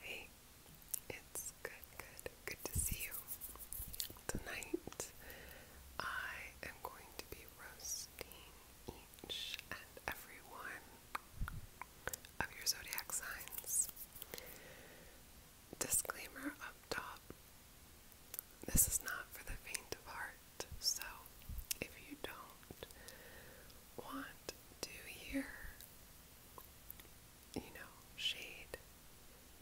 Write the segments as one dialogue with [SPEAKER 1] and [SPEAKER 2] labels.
[SPEAKER 1] Hey, it's good, good, good to see you. Tonight, I am going to be roasting each and every one of your zodiac signs. Disclaimer up top this is not for the faint of heart, so if you don't want to hear, you know, shade,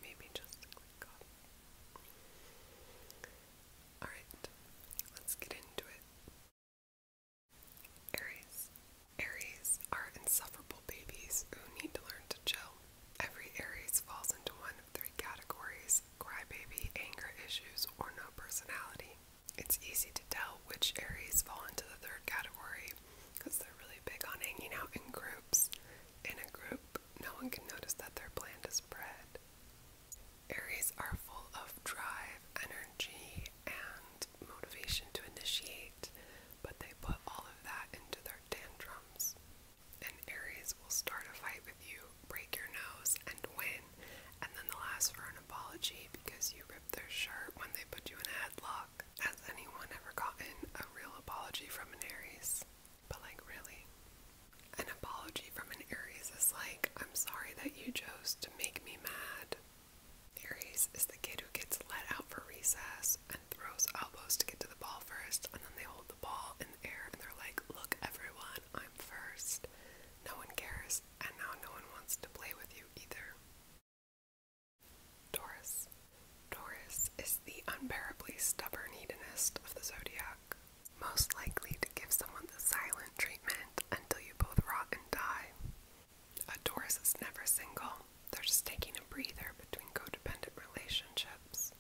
[SPEAKER 1] maybe just click off. Alright, let's get into it. Aries. Aries are insufferable babies who need to learn to chill. Every Aries falls into one of three categories crybaby, anger issues, or no personality. It's easy to tell which Aries fall into the third category because they're really big on hanging out in groups. In a group, no one can notice that their bland is bred. Aries are full of drive, energy, and motivation to initiate, but they put all of that into their tantrums. An Aries will start a fight with you, break your nose, and win, and then they'll ask for an apology because you ripped their shirt when they put you in a headlock. Has anyone ever gotten a real apology from an Aries? But, like, really? An apology from an Aries is like, I'm sorry that you chose to make me mad. Aries is the kid who gets let out for recess and throws elbows to get to the ball first, and then they hold the ball in the air and they're like, Look, everyone, I'm first. No one cares, and now no one wants to play with you either. Taurus. Taurus is the unbearably stubborn hedonist of the zodiac, most likely to give someone the silent treatment until you both rot and die. A Taurus is never single, they're just taking a breather between codependent relationships.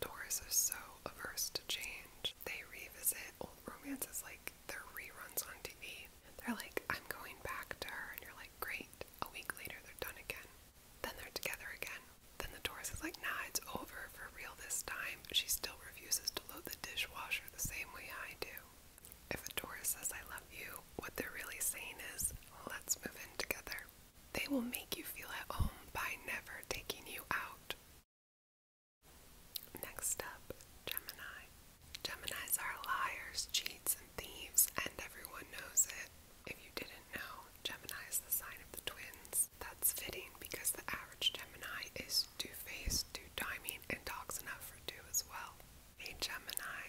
[SPEAKER 1] Taurus is so averse to change. They revisit old romances like they're reruns on TV. They're like, I'm going back to her, and you're like, great. A week later, they're done again. Then they're together again. Then the Taurus is like, nah, it's over for real this time. She still refuses to load the dishwasher the same way I do. If a Taurus says, I love you, what they're really saying is, let's move in together. They will make you feel at home by never taking you out. Next up, Gemini. Geminis are liars, cheats, and thieves, and everyone knows it. If you didn't know, Gemini is the sign of the twins. That's fitting because the average Gemini is two faced, two timing, and talks enough for two as well. A Gemini,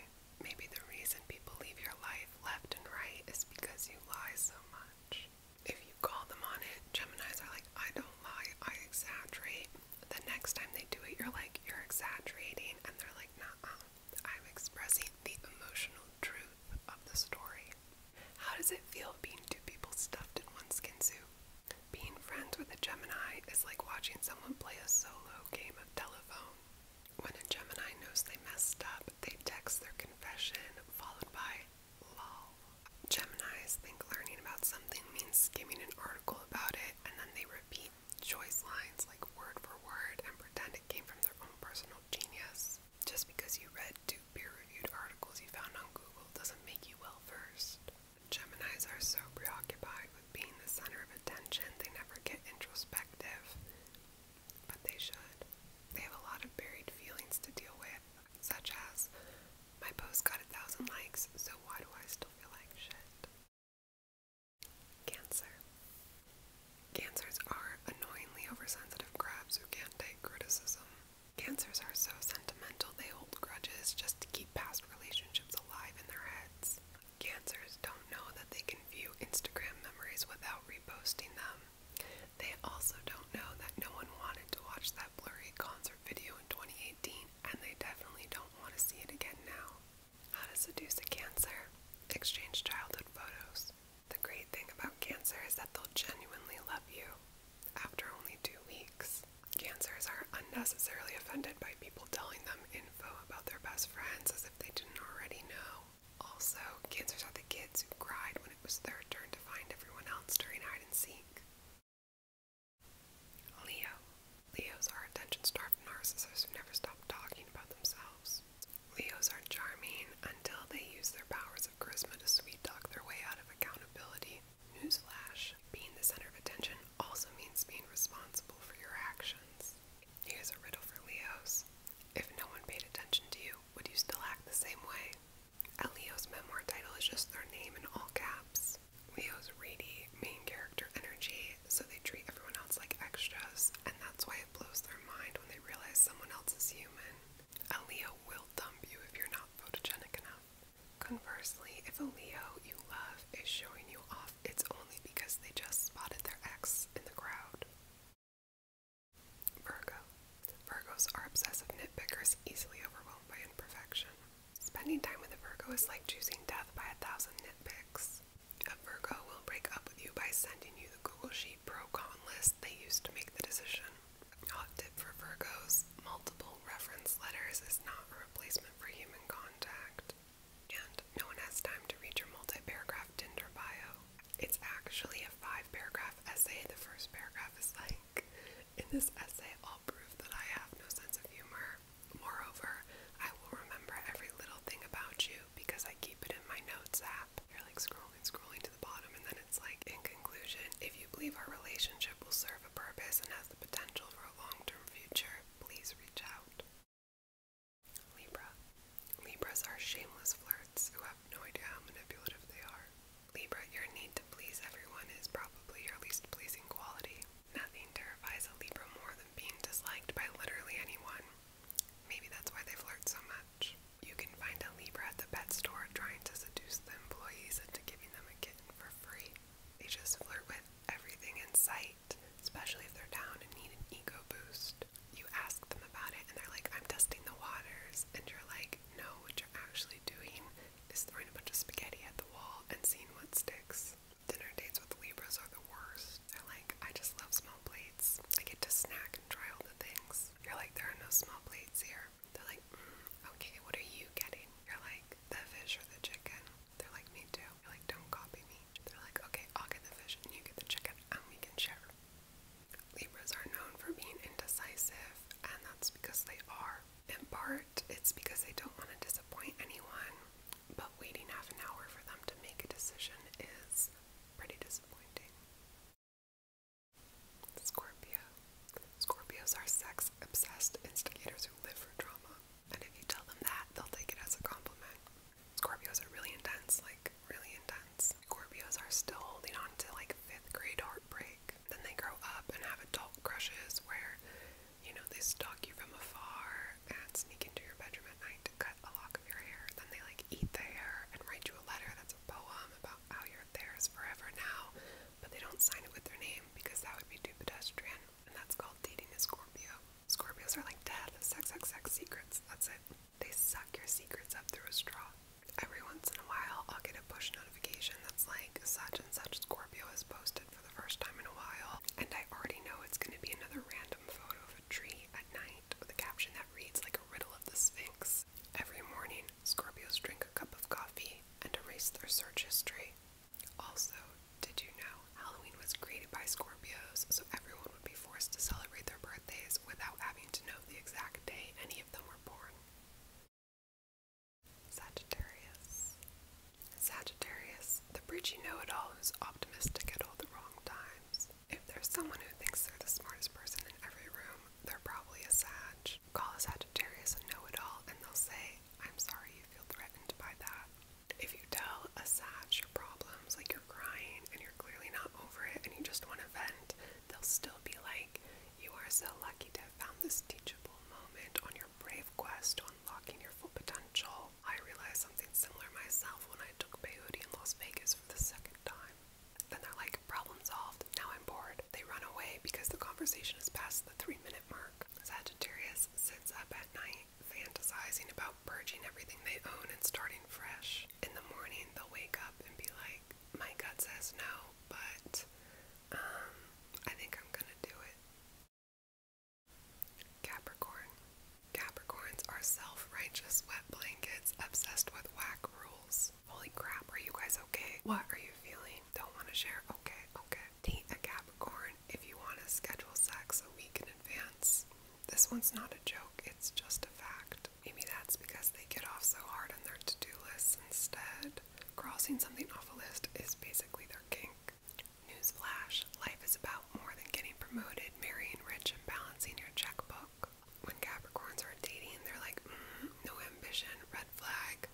[SPEAKER 1] maybe the reason people leave your life left and right is because you lie so much. If you call them on it, Geminis are like, I don't lie, I exaggerate. The next time they do it, you're like, you're exaggerating. And they're like, nah, I'm expressing the emotional truth of the story. How does it feel being two people stuffed in one skin suit? Being friends with a Gemini is like watching someone play a solo game of telephone. When a Gemini knows they messed up, they text their confession followed by lol. Geminis think learning about something means skimming an article about it and then they repeat choice lines like word for word and pretend it came from their own personal genius. Just because you read two peer reviewed articles you found on Google doesn't make you well versed. Geminis are so preoccupied with being the center of attention, they never get introspective, but they should. They have a lot of buried feelings to deal with, such as, my post got a thousand likes, so why do I still feel like shit? Cancer. Cancers are annoyingly oversensitive crabs who can't take criticism. Cancers are so sentimental they hold grudges just to keep past relationships alive in their heads. Cancers don't know that they can view Instagram memories without reposting them. They also don't know that no one wanted to watch that blurry concert video in 2018, and they definitely don't want to see it again now. How to seduce a Cancer? Exchange childhood photos. The great thing about Cancer is that they'll genuinely love you after only two weeks. Cancers are unnecessarily offended by people telling them in info about their best friends as if they didn't already know. Also, cancers are the kids who cried when it was their turn to find everyone else during hide and seek. Leo. Leos are attention starved narcissists who never stop talking about themselves. Leos are charming until they use their powers of charisma to sweet talk their way out of accountability. Newsflash being the center of attention also means being responsible for your actions. Here's a riddle for Leos. If no one paid attention to you, would you still act the same way? A Leo's memoir title is just their name in all caps. Leos radiate main character energy, so they treat everyone else like extras, and that's why it blows their mind when they realize someone else is human. A Leo will dump you if you're not photogenic enough. Conversely, if a Leo you love is showing you off, it's only because they just spotted their ex in the crowd. Virgo. Virgos are obsessive nitpickers, easily overwhelmed by imperfection. Spending time with a Virgo is like choosing death by a thousand nitpicks. A Virgo will break up with you by sending you the Google Sheet pro con list they used to make the decision. Hot tip for Virgos multiple reference letters is not a replacement for human contact. And no one has time to read your multi paragraph Tinder bio. It's actually a five paragraph essay. The first paragraph is like, In this essay, I'll prove that I have no sense of humor. Moreover, I will remember every little thing about you because I keep it in my notes app. You're like scrolling, scrolling to the bottom, and then it's like, In conclusion, if you believe our relationship will serve a purpose and has the potential for a long term future, please reach out. Libra. Libras are shameless flirts who have no idea how manipulative they are. Libra, your need to please everyone is probably your least pleasing quality. Nothing terrifies a Libra more than being disliked by literally anyone. Maybe that's why they flirt so much. You can find a Libra at the pet store trying to seduce the employees into giving them a kitten for free. They just flirt with everything in sight, especially if they're down and need an ego boost. You ask them about it and they're like, I'm testing the waters. And you're like, no, what you're actually doing is throwing a bunch of spaghetti at the wall and seeing what sticks. Dinner dates with Libras are the worst. They're like, I just love small plates. I get to snack and try all the things. You're like, there are no small plates here. They're like, mm, okay, what are you getting? You're like, the fish or the chicken? They're like, me too. You're like, don't copy me. They're like, okay, I'll get the fish and you get the chicken and we can share. Libras are known for being indecisive, and that's because they are. In part, it's because they don't want to disappoint anyone, but waiting half an hour for them to make a decision is pretty disappointing. Scorpio. Scorpios are sex obsessed instigators who live for drama. And if you tell them that, they'll take it as a compliment. Scorpios are really intense, like really intense. Scorpios are still holding on to like fifth grade heartbreak. Then they grow up and have adult crushes where, you know, they stalk you from afar and sneak into your bedroom at night to cut a lock of your hair. Then they like eat the hair and write you a letter that's a poem about how you're theirs forever now but they don't sign it with their name because that would be too pedestrian, and that's called dating a Scorpio. Scorpios are like death, sex, sex, sex, secrets. That's it. They suck your secrets up through a straw. Every once in a while, I'll get a push notification that's like, such and such Scorpio has posted for the first time in a while, and I already know it's going to be another random photo of a tree at night with a caption that reads like a riddle of the Sphinx. Every morning, Scorpios drink a cup of coffee and erase their search history. Also, did you know Halloween was created by Scorpios, so everyone would be forced to celebrate their birthdays without having to know the exact day any of them were born? Sagittarius. Sagittarius, the preachy know it all who's optimistic at all the wrong times. If there's someone who thinks they're the smartest person in every room, they're probably a Sag. Call a Sagittarius a know it all, and they'll say, I'm sorry you feel threatened by that. If you tell a Sag your problems, like you're crying and you're clearly not over it and you just want to vent, they'll still be like, You are so lucky to have found this teachable moment on your brave quest to unlocking your full potential. I realized something similar myself when I took peyote in Las Vegas for the second time. Then they're like, problem solved, now I'm bored. They run away because the conversation is past the three minute mark. Sagittarius sits up at night, fantasizing about purging everything they own and starting fresh. In the morning, they'll wake up and be like, my gut says no, but um, I think I'm gonna do it. Capricorn. Capricorns are self righteous wet blankets obsessed with whack rules. Holy crap, are you guys okay? What are you feeling? Don't want to share? Okay, okay. Date a Capricorn if you want to schedule sex a week in advance. This one's not a joke, it's just a fact. Maybe that's because they get off so hard on their to do list instead. Crossing something off a list is basically their kink. Newsflash life is about more than getting promoted, marrying rich, and balancing your checkbook when Capricorns are dating, they're like, mm, no ambition, red flag,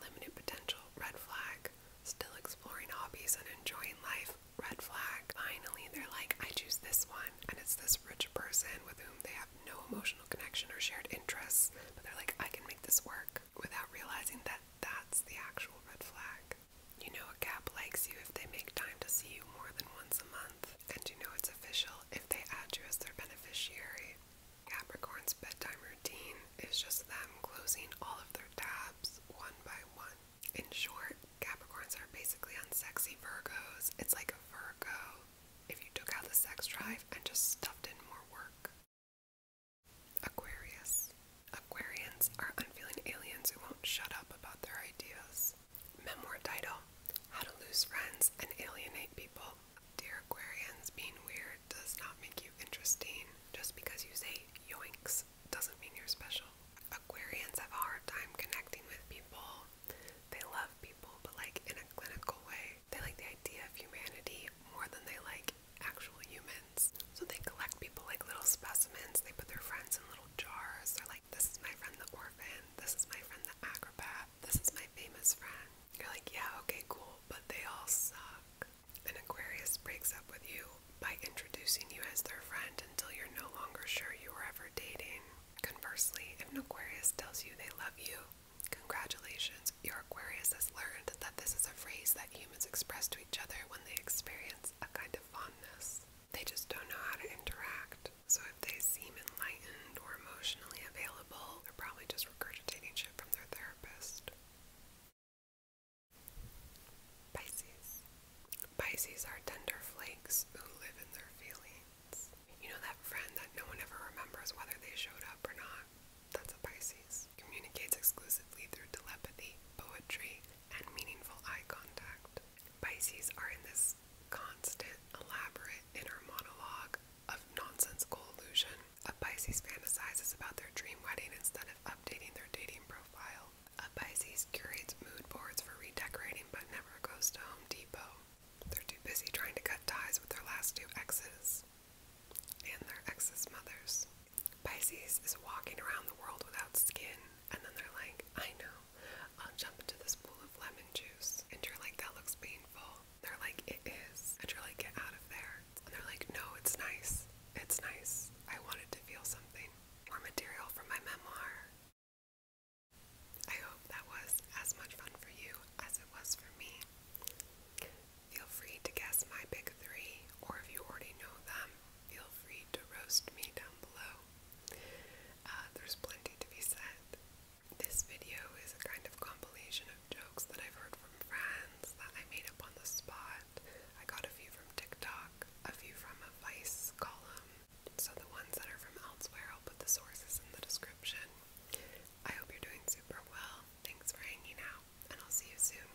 [SPEAKER 1] limited potential, red flag, still exploring hobbies and enjoying life, red flag. Finally, they're like, I choose this one, and it's this rich person with whom they have no emotional connection or shared interests, but they're like, I can make this work without realizing that that's the actual red flag. You know, a cap likes you if they make time to see you more than once a month, and you know it's official if they add their beneficiary. Capricorn's bedtime routine is just them closing all of their tabs one by one. In short, Capricorns are basically unsexy Virgos. It's like a Virgo if you took out the sex drive and just stuffed in more work. Aquarius. Aquarians are unfeeling aliens who won't shut up about their ideas. Memoir title How to Lose Friends and Alienate People. Dear Aquarians, being weird does not make you interesting. Just because you say yoinks doesn't mean you're special. Aquarians have a hard time connecting with people. They love people, but like in a clinical way. They like the idea of humanity more than they like actual humans. So they collect people like little specimens. They put their friends in little jars. They're like, this is my friend the orphan. This is my friend, the acrobat. This is my famous friend. You're like, yeah, okay, cool, but they all suck. An Aquarius breaks up with you by introducing you as their friend until you're no longer sure you were ever dating. Conversely, if an Aquarius tells you they love you, congratulations, your Aquarius has learned that this is a phrase that humans express to each other when they experience a kind of fondness. They just don't know how to interact. So if they seem enlightened or emotionally available, they're probably just regurgitating shit from their therapist. Pisces. Pisces are tender flakes who live in their feelings. You know that friend that no one ever remembers whether they showed up or not? That's a Pisces. Communicates exclusively through telepathy, poetry, and meaningful eye contact. Pisces are in this constant, elaborate inner monologue of nonsensical illusion. A Pisces fantasizes about their dream wedding instead of updating their dating profile. A Pisces curates mood boards for redecorating but never goes to Home Depot. They're too busy trying to cut ties with their last two exes and their exes' mothers. Pisces is walking around the world without skin, and then they're like, I know, I'll jump into this pool of lemon juice. And you're like, that looks painful. They're like, it is. And you're like, get out of there. And they're like, no, it's nice. It's nice. I wanted to feel something. More material for my memoir. I hope that was as much fun for you as it was for me. Feel free to guess my big three, or if you already know them, feel free to roast me down below. Uh, there's plenty to be said. This video is a kind of compilation of jokes that I've heard from friends that I made up on the spot. I got a few from TikTok, a few from a Vice column. So the ones that are from elsewhere, I'll put the sources in the description. I hope you're doing super well. Thanks for hanging out, and I'll see you soon.